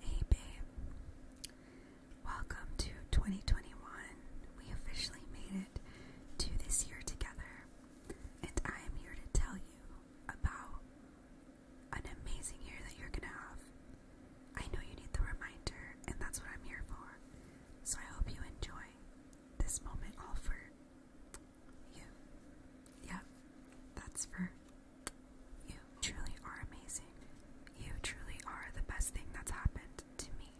Hey babe, welcome to 2021. We officially made it to this year together, and I am here to tell you about an amazing year that you're gonna have. I know you need the reminder, and that's what I'm here for. So I hope you enjoy this moment all for you. Yep, that's for you. Truly are amazing. You truly are the best thing that's happened to me.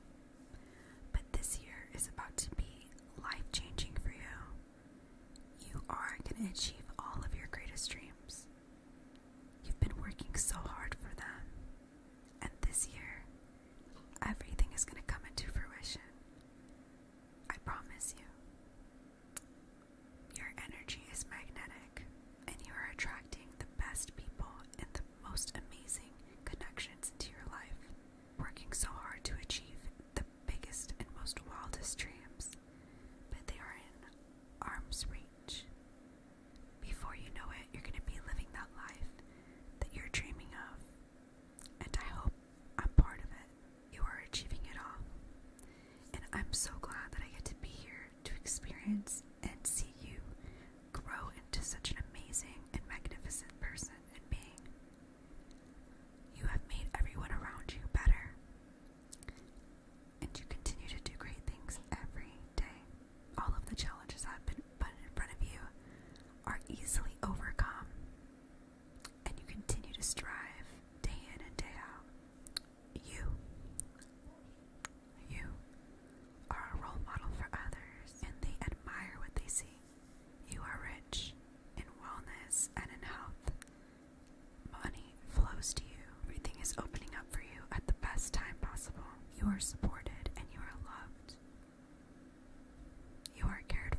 But this year is about to be life changing for you. You are going to achieve all of your greatest dreams. You've been working so hard for them. And this year, everything is going to come into fruition. I promise you. Your energy is magnetic, and you are attracting the best people and the most amazing connections into your life, working so hard to achieve the biggest and most wildest dreams, but they are in arm's reach. Before you know it, you're going to be living that life that you're dreaming of, and I hope I'm part of it. You are achieving it all. And I'm so glad that I get to be here to experience and see you grow into such an amazing and magnificent person and being. You have made everyone around you better. And you continue to do great things every day. All of the challenges that have been put in front of you are easily overcome and you continue to strive day in and day out, you, you are a role model for others and they admire what they see. You are rich in wellness and in health. Money flows to you. Everything is opening up for you at the best time possible. You are supported and you are loved. You are cared for.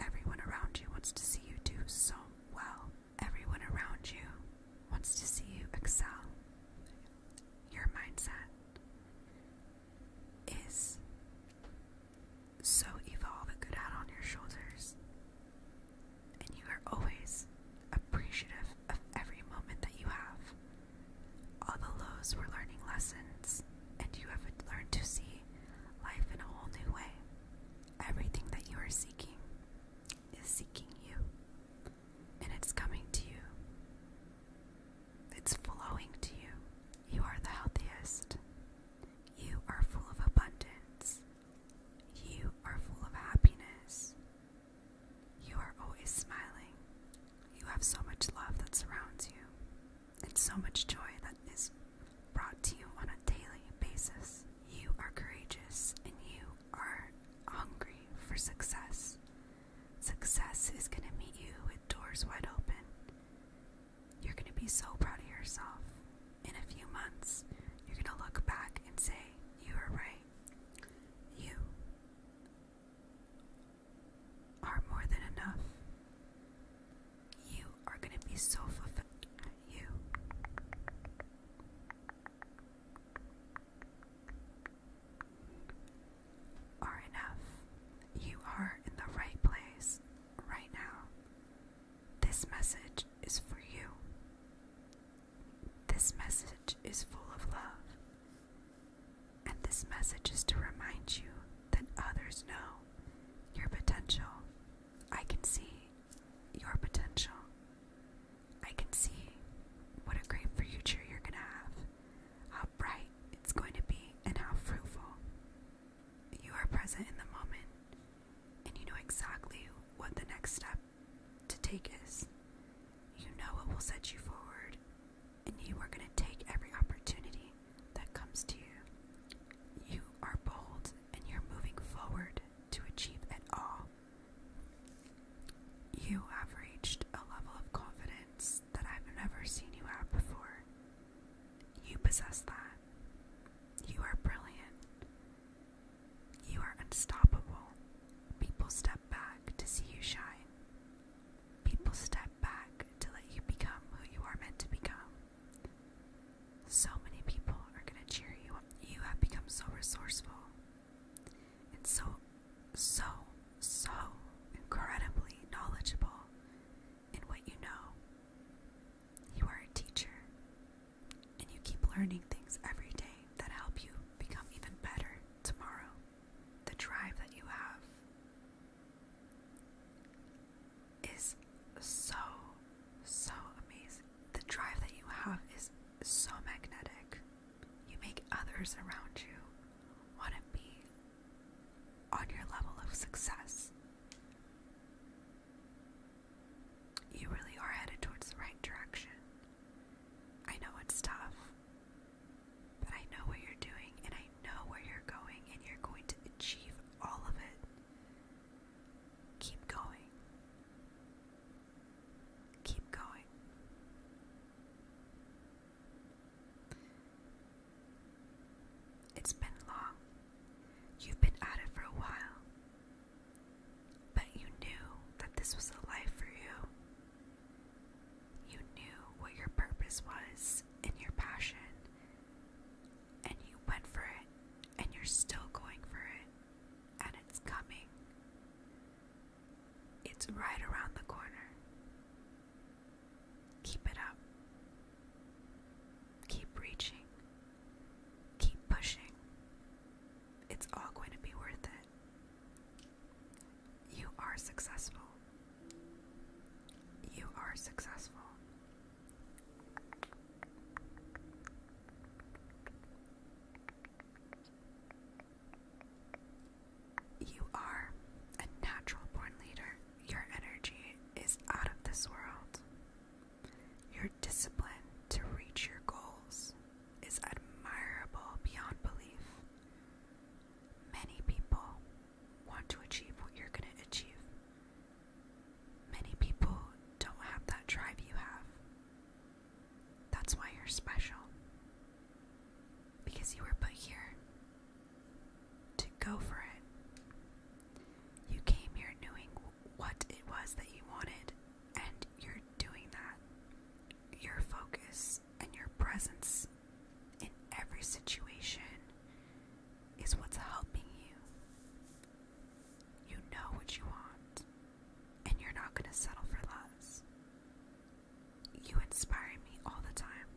Everyone around you wants to see you do so well. Everyone around you wants to see you excel. Your mindset is so evolve a good hat on your shoulders, and you are always appreciative of every moment that you have. All the lows were learning lessons, and you have learned to see life in a whole new way. Everything that you are seeking is seeking you, and it's coming to you. It's flowing to you. You are the healthiest. You are full of abundance. You are full of happiness. You are always smiling. You have so much love that surrounds you, and so much joy that is brought to you on a daily basis. You are courageous and you are hungry for success. Success is going to meet you with doors wide open. You're going to be so proud of yourself. In a few months, you're going to look back and say, You were right. You are more than enough. You are going to be so fulfilled. You. Are enough. You are in the right place right now. This message is for you. This message is full of love. And this message is to remind you that others know your potential I can see your potential. I can see what a great future you're going to have, how bright it's going to be, and how fruitful. You are present in the moment, and you know exactly what the next step to take is. You know what will set you forward, and you are going to take every opportunity that comes to you. You are bold and you're moving forward to achieve it all. You have reached a level of confidence that I've never seen you have before. You possess that. You are brilliant. You are unstoppable. People step back to see you shine. People step back to let you become who you are meant to become. So many people are going to cheer you up. You have become so resourceful and so, so, so incredibly knowledgeable in what you know. You are a teacher and you keep learning things every day that help you become even better tomorrow. The drive that you have is so, so amazing. The drive that you have is so magnetic. You make others around you want to be on your level of success. You really are headed towards the right direction. I know it's tough, but I know what you're doing and I know where you're going, and you're going to achieve all of it. Keep going. Keep going. It's been long. You've been at it for a while. But you knew that this was a life for you. You knew what your purpose was and your passion, and you went for it, and you're still going for it, and it's coming. It's right around the corner. Keep it up. Keep reaching. Keep pushing. It's all going to be worth it. You are successful. You are successful. You are a natural born leader. Your energy is out of this world. Your discipline to reach your goals is admirable beyond belief. Many people want to achieve what you're going to achieve, Many people don't have that drive you have. That's why you're special. Because you were put here to go for it. You came here knowing what it was that you wanted, and you're doing that. Your focus and your presence in every situation is what's helping you you know what you want, and you're not going to settle for less. You inspire me all the time,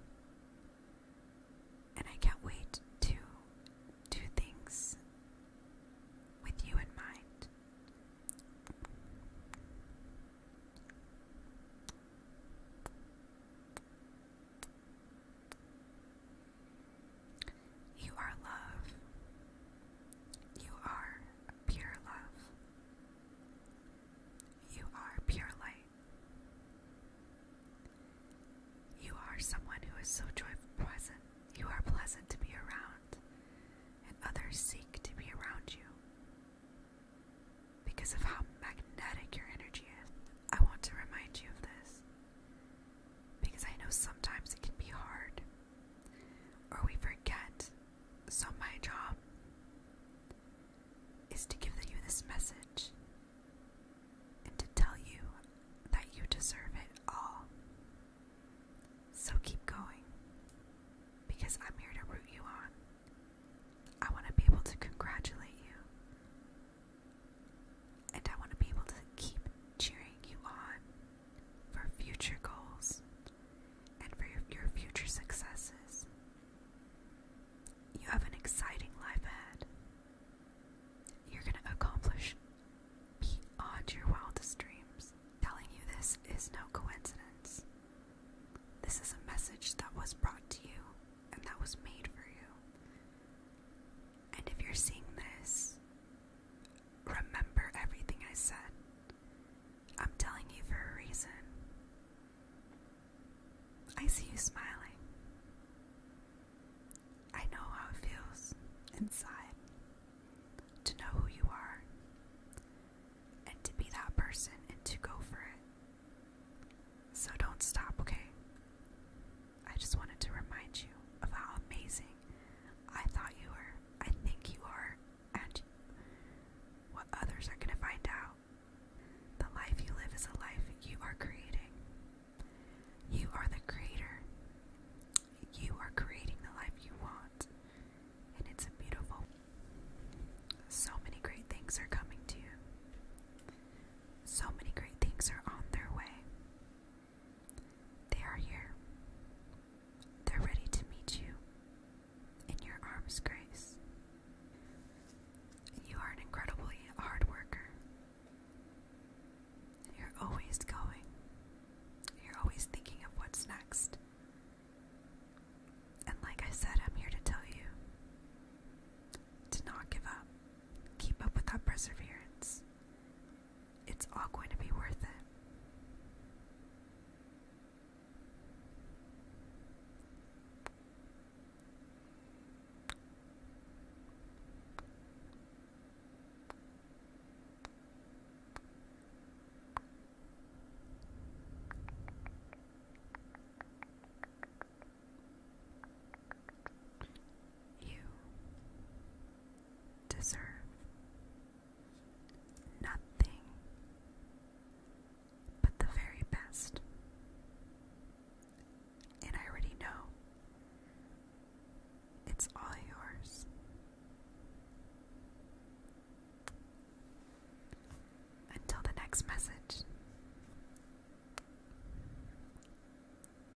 and I can't wait to do things with you in mind. You are love. You are pure love. You are pure light. You are someone who is so joyful, pleasant. You are pleasant to be around, and others seek to be around you because of how magnetic your energy is. I want to remind you of this because I know sometimes it can be hard or we forget. So, my job is to give you this message and to tell you that you deserve it all. So, keep going because I'm here to root you on. I want to be able to congratulate you and I want to be able to keep cheering you on for future goals and for your, future successes. You have an exciting life ahead. You're going to accomplish beyond your wildest dreams. Telling you this is no coincidence. This is a message that was brought to you and that was made for you. And if you're seeing this, Remember everything I said. I'm telling you for a reason. I see you smiling. I know how it feels inside to know who you are and to be that person and to go for it. So don't stop, okay? I just wanted to remind you of how amazing I thought you were, I think you are, and what others are going to find out. The life you live is a life you are creating. You are the creator. You are creating the life you want. And it's a beautiful. So many great things are coming to you. So many great things are on their way. They are here. They're ready to meet you. In your arms, Grace. You are an incredibly hard worker. You're always going. You're always thinking of what's next. And like I said, I'm here to tell you to not give up. Keep up with that perseverance. It's all going to be worth it. You deserve nothing but the very best. And I already know it's all yours. Until the next message.